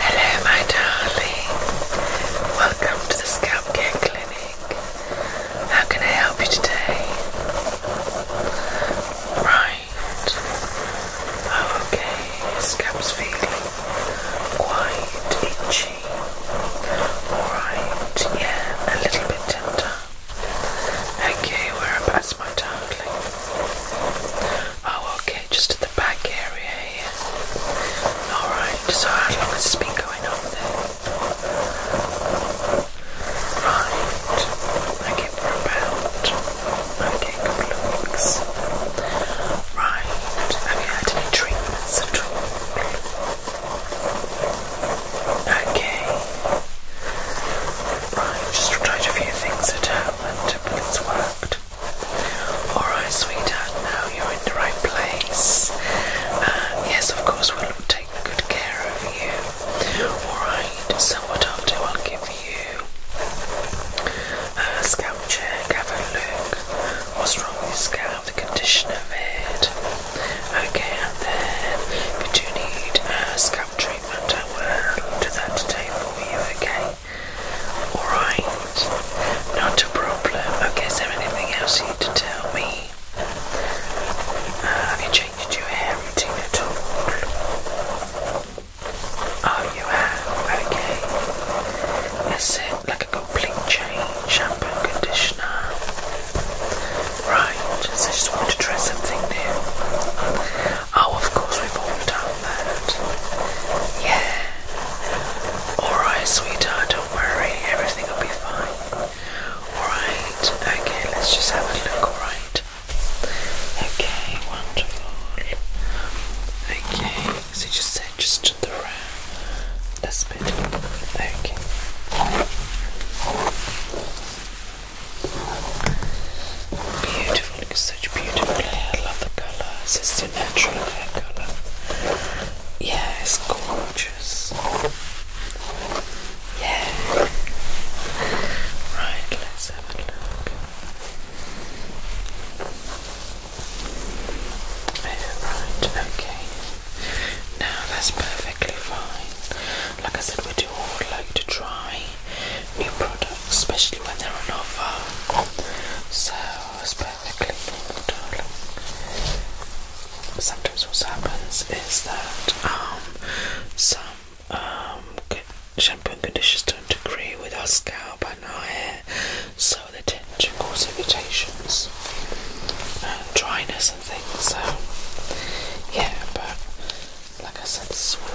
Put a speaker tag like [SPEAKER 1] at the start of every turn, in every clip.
[SPEAKER 1] Hello, my darling. Welcome to the Scalp Care Clinic. How can I help you today? Right. Oh, okay. scalp's feeling quite itchy. Alright, yeah, a little bit tender. Okay, whereabouts, my darling? Oh, okay just at the back area here. Alright, so how long has this been going on Right. Okay, for about okay, a couple of weeks. Right. Have you had any treatments at all? Okay. Right, just tried a few things at home and it's worked. Alright, sweetheart, now you're in the right place. Uh, yes, of course, we'll take good care of you. Alright, so what I'll do, I'll give you a scalp check, have a look. What's wrong with your scalp, the condition of it. Okay, and then if you do need a scalp treatment, I will do that today for you, okay? Alright, not a problem. Okay, is there anything else you need to tell me? Uh, have you changed your hair routine at all? Oh, you have? Okay. that's it like a complete change? Shampoo, conditioner? Right, I just wanted to try something new. Oh, of course, we've all done that. Yeah. Alright, sweetheart, don't worry. Everything will be fine. Alright, okay, let's just have a look, alright? Okay, wonderful. Okay, so you said just to the right. This bit. Okay. Beautiful beautiful, it's such beautiful hair, I love the colour, it's just a natural hair colour. Yeah, it's gorgeous. Yeah. Right, let's have a look. Oh, right, okay. Now that's perfectly fine. Like I said, we do all like to try new products especially when they're on offer. So it's perfectly normal, Sometimes what happens is that um, some um, shampoo and conditioners don't agree with our scalp and our hair, so they tend to cause irritations and dryness and things. So yeah, but like I said, this is what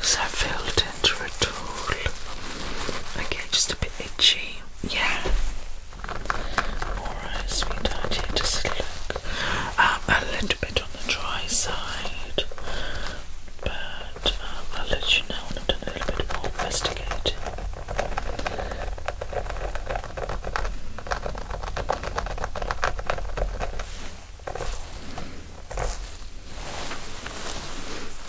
[SPEAKER 1] So I filled into a tool. Okay, just a bit itchy. Yeah. Alright, sweetheart, here, just look um, a little bit on the dry side, but um, I'll let you know when I've done a little bit more investigating.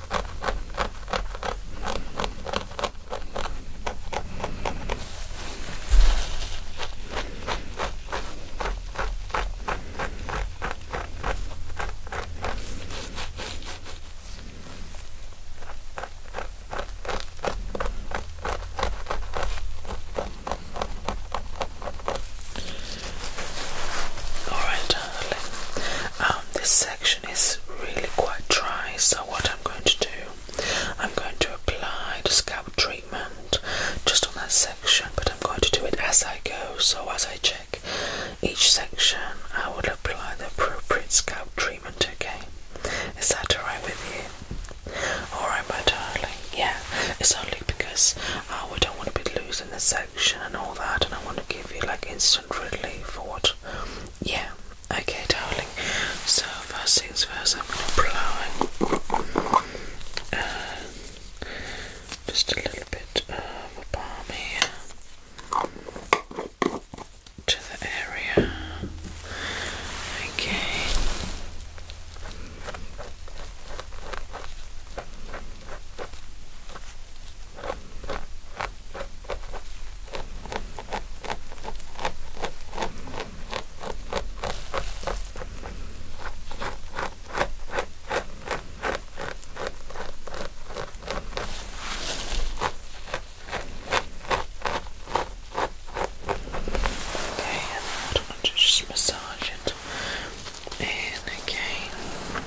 [SPEAKER 1] All right, lovely. Um, this section section is really quite dry, so what I'm going to do, I'm going to apply the scalp treatment just on that section, but I'm going to do it as I go. So as I check each section, I will apply the appropriate scalp treatment. Okay, is that alright with you? Alright, my darling. Yeah, it's only because oh, I don't want to be losing the section and all that, and I want to give you like instant relief for what. Yeah, okay, darling. So, first things first, I'm going to apply just a little bit of a balm here to the area. Okay. Okay, and I want just massage it in again.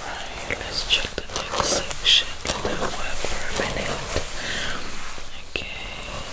[SPEAKER 1] Right, let's check the next section. Let that work Okay.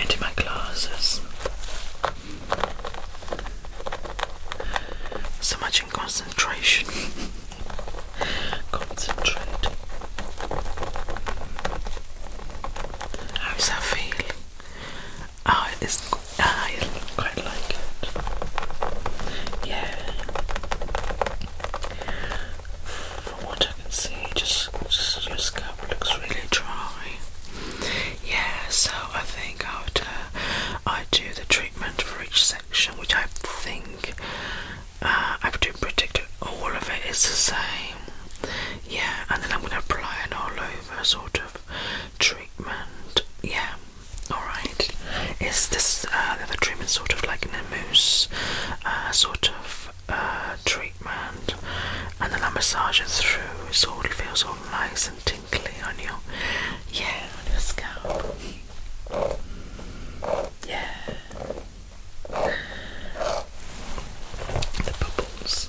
[SPEAKER 1] into my glasses. So much in concentration. Concentrate. How does that feel? Oh, it's, ah, I quite like it. Yeah. From what I can see, just, your scalp looks really dry. Yeah, so I think after I uh, do the treatment for each section, which I think uh, I do predict all of it is the same. Yeah, and then I'm going to apply an all over sort of treatment. Yeah, alright right? Is this uh, the treatment sort of like an mousse uh, sort of uh, treatment, and then I massage it through, It sort of feels all nice and tingly on your yeah on your scalp. Yeah, the bubbles.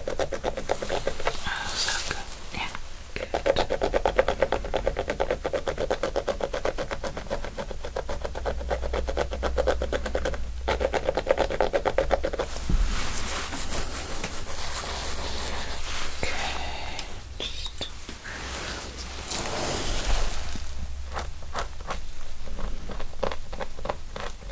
[SPEAKER 1] Oh, so good. Yeah, good. Okay, just... Okay.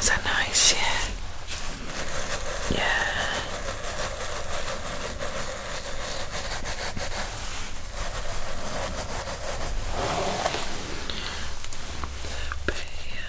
[SPEAKER 1] Is that nice? Yeah. Yeah. Bit, yeah.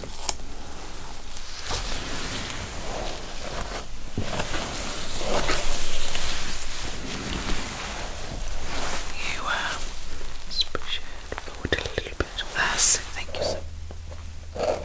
[SPEAKER 1] You um, uh, push it forward a little bit less. Thank you, so. Good.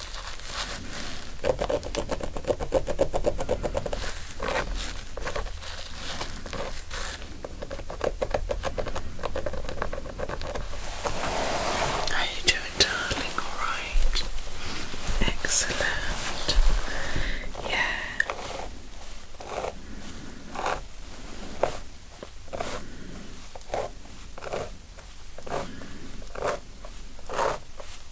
[SPEAKER 1] How are you doing, darling? All right. Excellent. Yeah.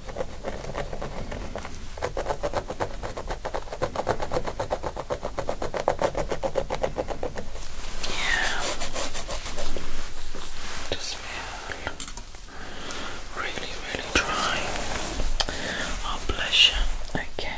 [SPEAKER 1] Just feel really, really dry. Oh, blush. Okay. Okay.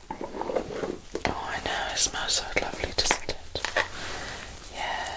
[SPEAKER 1] Oh, I know, it smells so lovely, doesn't it? Yeah.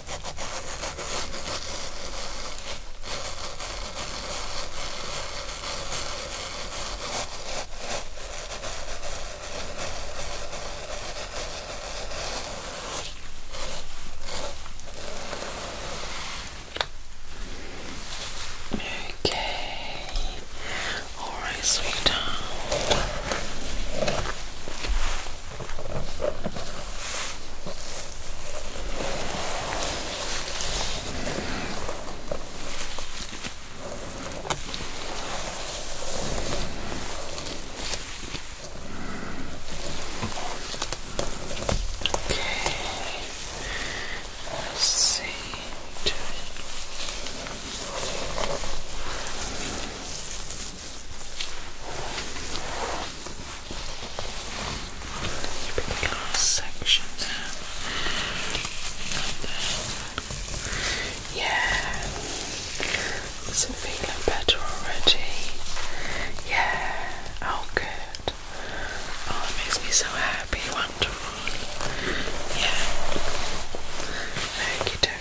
[SPEAKER 1] Okay. All right, sweetheart. Let's see to it. Particular section yeah, is feeling better already? Yeah, oh good. Oh, it makes me so happy, wonderful. Yeah, okay,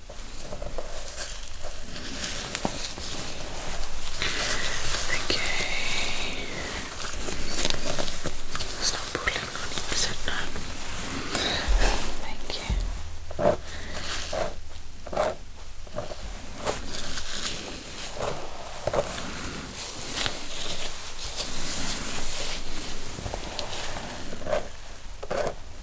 [SPEAKER 1] Okay. It's pulling on you, Thank you.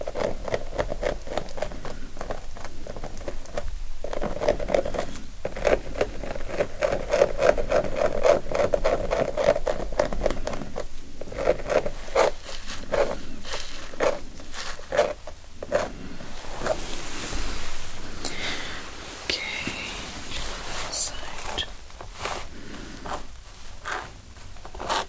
[SPEAKER 1] Okay, side. Okay.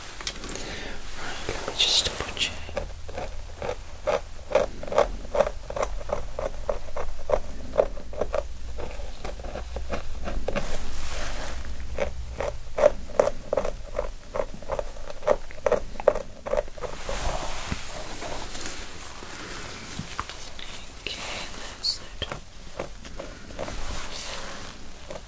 [SPEAKER 1] let me just double check. Okay, that's it.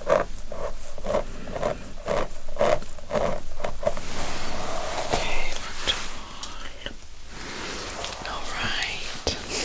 [SPEAKER 1] Okay, we're All right. Okay.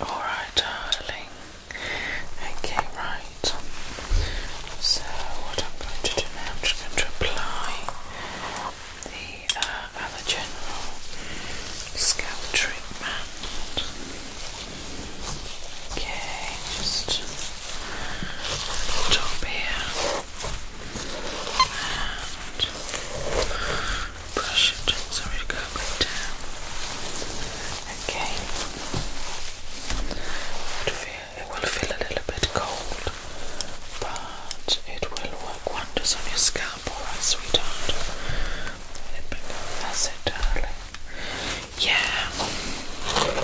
[SPEAKER 1] All right, darling. Okay, right. So what I'm going to do now, I'm just going to apply the uh, other general scalp treatment. Okay, just top here and brush it. Sorry, go a down. Okay. Good it will feel a little bit cold, but it will work wonders on your scalp, alright, sweetheart. That's it, darling. Yeah. Okay.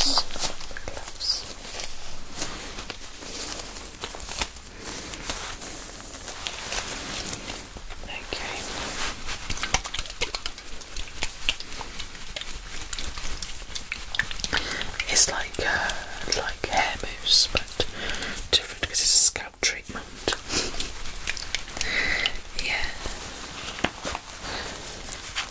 [SPEAKER 1] Right. It's like uh, like hair mousse, but different because it's a scalp treatment. yeah.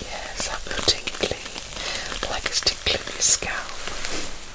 [SPEAKER 1] Yes, that will tingly, like it's tickling your scalp.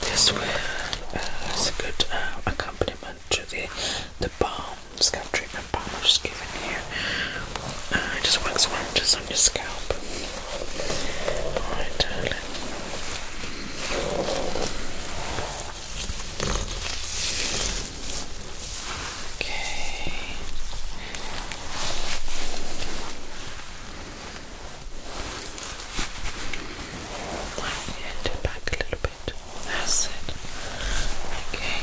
[SPEAKER 1] This will uh, is a good uh, accompaniment to the the balm scalp treatment balm I'm just giving here. Uh, it just works wonders on your scalp. Okay. Lighten it back a little bit. That's it. Okay.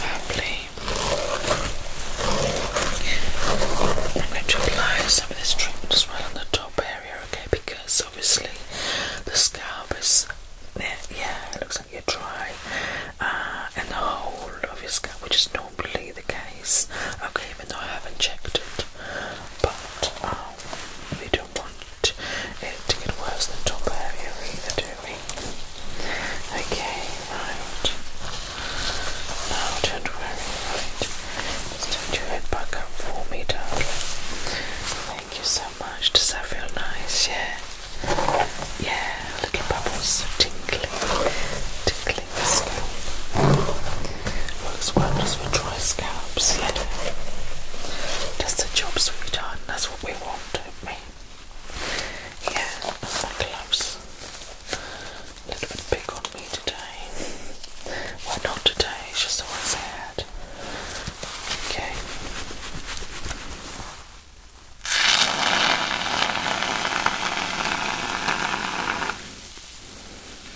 [SPEAKER 1] Lovely. I'm going to apply some of this treatment as well on the top area, okay? Because obviously the scalp is, yeah, yeah looks like you're dry, uh, and the whole of your scalp, which is normally the case, okay? Even though I haven't checked it, but um, we don't want it to get worse than top area either, do we? Okay, right. No, don't worry, right. turn your head back up for me, darling. Thank you so much. Does that feel nice? Yeah. Yeah, little bubbles tingling. Tickling, clean Works wonders for dry scalps, yeah. That's the job, we've done. That's what we want, don't we? Yeah, my gloves. A little bit big on me today. Well, not today, it's just always had. Okay.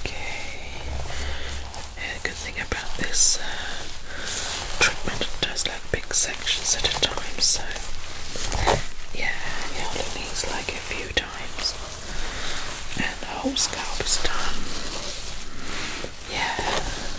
[SPEAKER 1] Okay. And good thing about this uh, treatment, does like big sections at a time, so yeah, you only needs like a few times, and the whole scalp is done. Yeah.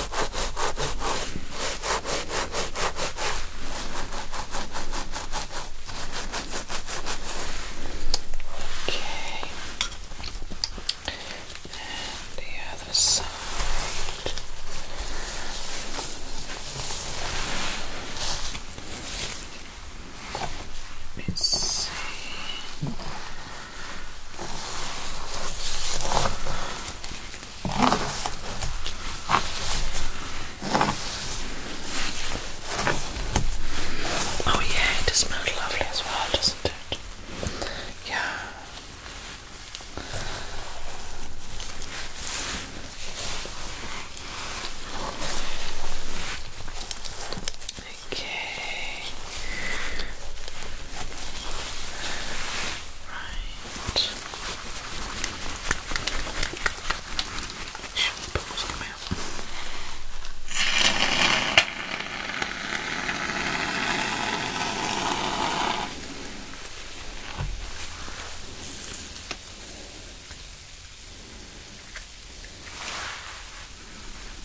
[SPEAKER 1] Okay. And the other side. Let me see. Oh, yeah, it smells lovely as well, doesn't it? Yeah. Okay. Right. Bubbles come out. Right.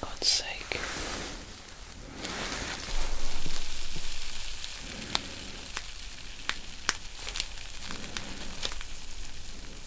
[SPEAKER 1] God's sake.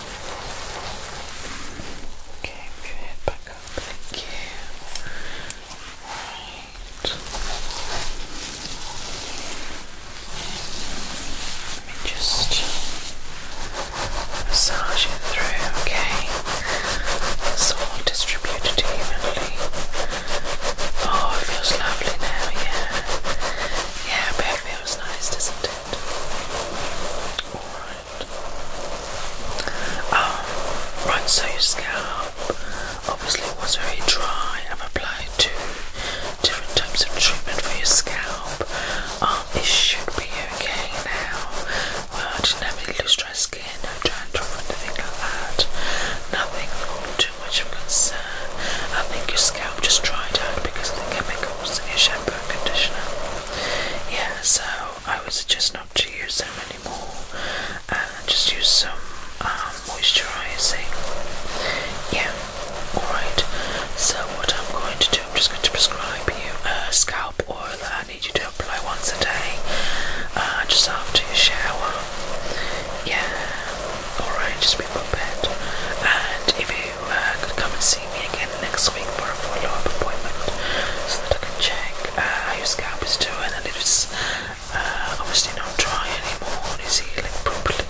[SPEAKER 1] Okay, move your head back up. Thank Let me just massage it through, okay? It's all distributed evenly. Oh, feels lovely now, yeah. Yeah, but it feels nice, doesn't it? Alright. Um, right, so your scalp obviously was very dry. I've applied two different types of treatment for your scalp. Um, it should be okay now. Uh, I didn't have any loose dry skin, no dandruff or anything like that. Nothing too much of concern. I think your scalp just dried out because of the chemical your shampoo conditioner. Yeah, so I would suggest not to use them anymore. Uh, just use some um, moisturising. Yeah, alright. So what I'm going to do, I'm just going to prescribe you a scalp oil that I need you to apply once a day, uh, just after your shower. Yeah, alright, just be prepared. And if you you uh, come and see me again next week for a follow-up appointment so that I can check uh, how your scalp is doing and if it's uh, obviously not dry anymore and it's healing properly.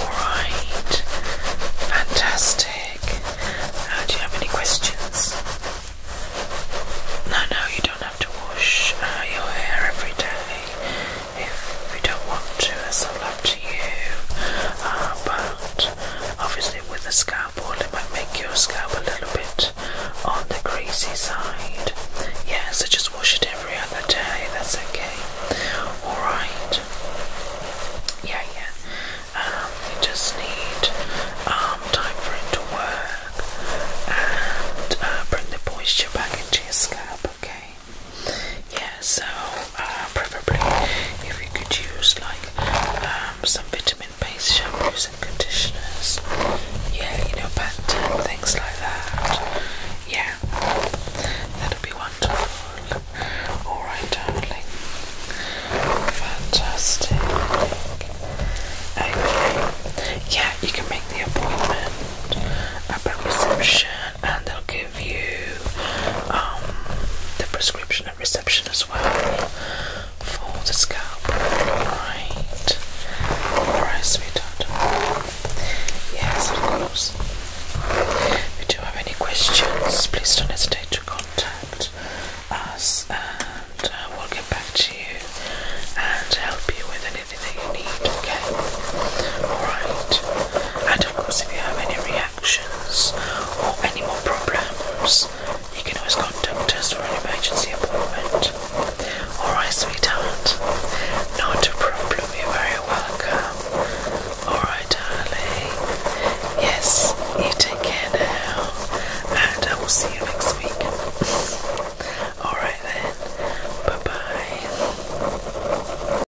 [SPEAKER 1] Alright, fantastic. do you have any questions? No, no, you don't have to wash your hair every day if we don't want to, it's all up to you. Uh, but obviously, with a scalp oil, it might make your scalp a little bit on the greasy side. Yeah, so just wash it every other day, that's okay. Alright. Yeah, yeah. Um, you just need um, time for it to work and uh, bring the moisture back into your scalp, okay? yeah so uh, preferably if you could use like um, some vitamin based shampoos and conditioners yeah you know Pantene things like that yeah that'll be wonderful alright darling fantastic okay yeah you can make the appointment at reception and they'll give you um, the prescription at reception as well for the scalp. Alright. Alright, sweetheart. Yes, of course. If you do have any questions, please don't hesitate to contact us and uh, we'll get back to you and help you with anything that you need, okay? Alright. And of course, if you have any reactions, actions or any more problems, you can always contact us for an emergency appointment. Alright, sweetheart. Not a problem, you're very welcome. Alright, darling. Yes, you take care now, and I will see you next week. Alright then, bye bye.